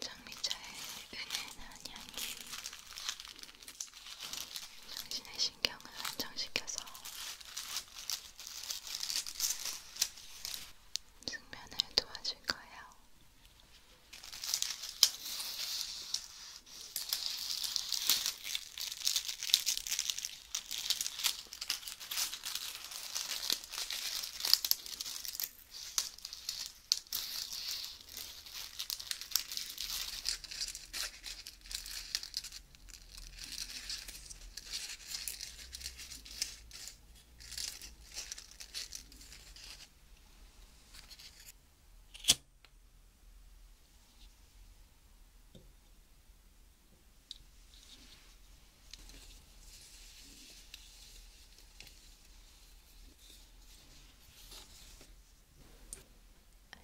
장미차의 은은한 향기 당신의 신경을 안정시켜서 숙면을 도와줄 거예요.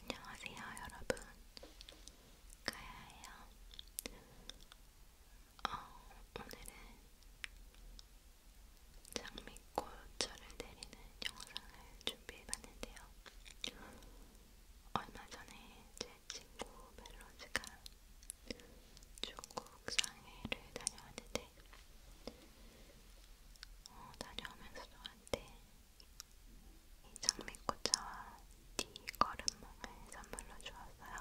안녕하세요, 여러분. 가야예요. 어, 오늘은 장미꽃철을 내리는 영상을 준비해봤는데요. 얼마 전에 제 친구 멜로즈가 중국 상해를 다녀왔는데 어, 다녀오면서 저한테 이 장미꽃차와 걸음몽을 선물로 주었어요.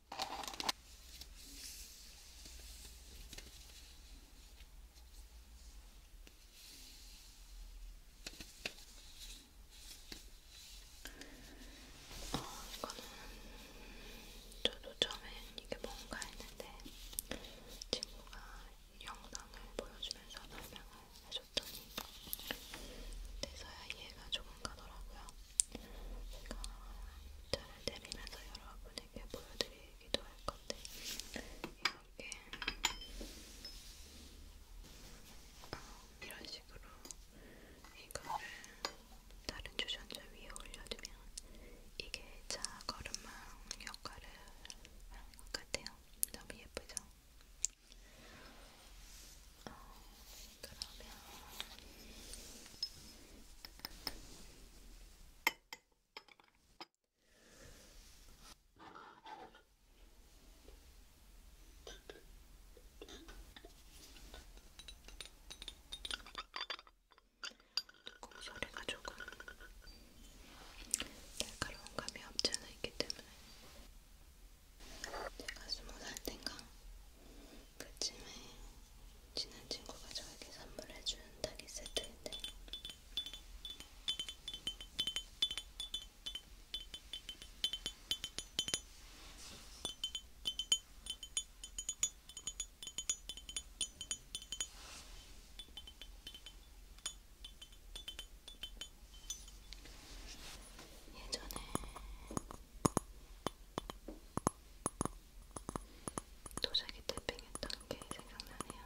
어, 이거는 저도 처음엔 이게 뭔가 했는데 친구가 영상을 보여주면서 설명을 해줬더니 그때서야 이해가 조금 가더라고요. 제가 차를 내리면서 여러분에게 보여드리기도 할 건데 이렇게 이런 식으로 이거를 다른 주전자 위에 올려두면 이게 자 걸음망 역할을 하는 것 같아요. 너무 예쁘죠? 어, 그러면 그 소리가 조금 날카로운 감이 없지 않아 있기 때문에 제가 스무 살 때인가 그쯤에 친한 친구가 저에게 선물해준 닭이 세트인데 예전에 도자기 탭핑했던 게 생각나네요.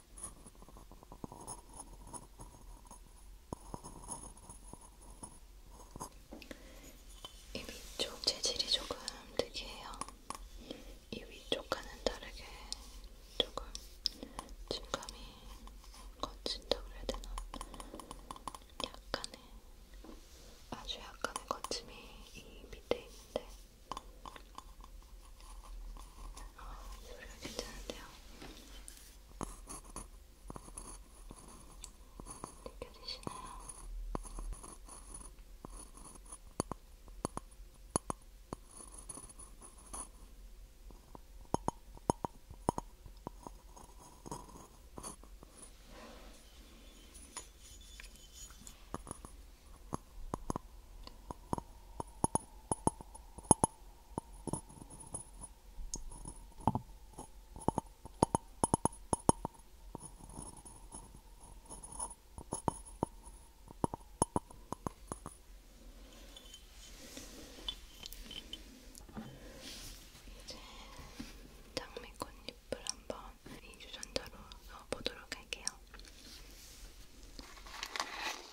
이 위쪽 재질이 조금 특이해요. 이 위쪽과는 다르게 조금 질감이 거친다고 해야 되나? 약간의, 아주 약간의 거침이 이 밑에 있는데 소리가 괜찮은데요? 느껴지시나요? 네, 이제 장미꽃잎을 한번 이 유전자로 넣어보도록 할게요.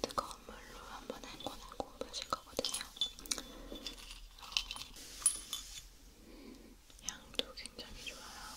뜨거운 물로 한번 헹궈내고 마실 거거든요. 어, 향도 굉장히 좋아요.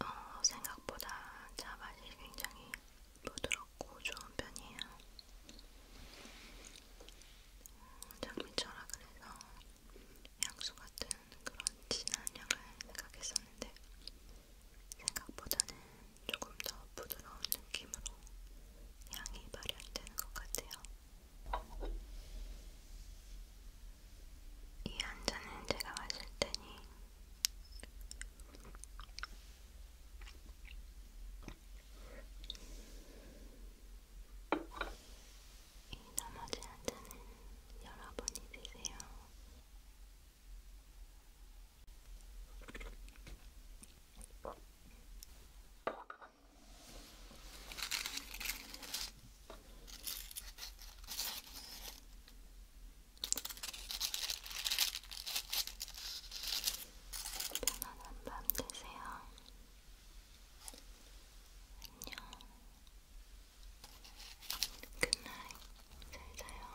어, 생각보다 차 맛이 굉장히 부드럽고 좋은 편이에요. 장미철아 음, 그래서 향수 같은 그런 진한 향을 생각했었는데 생각보다는 조금 더 부드러운 느낌으로 향이 발현되는 것 같아요. 이 한잔은 제가 마실 테니 이 나머지 한잔은 여러분이 드세요. 편안한 밤 되세요. 안녕. 굿나잇. 잘 자요.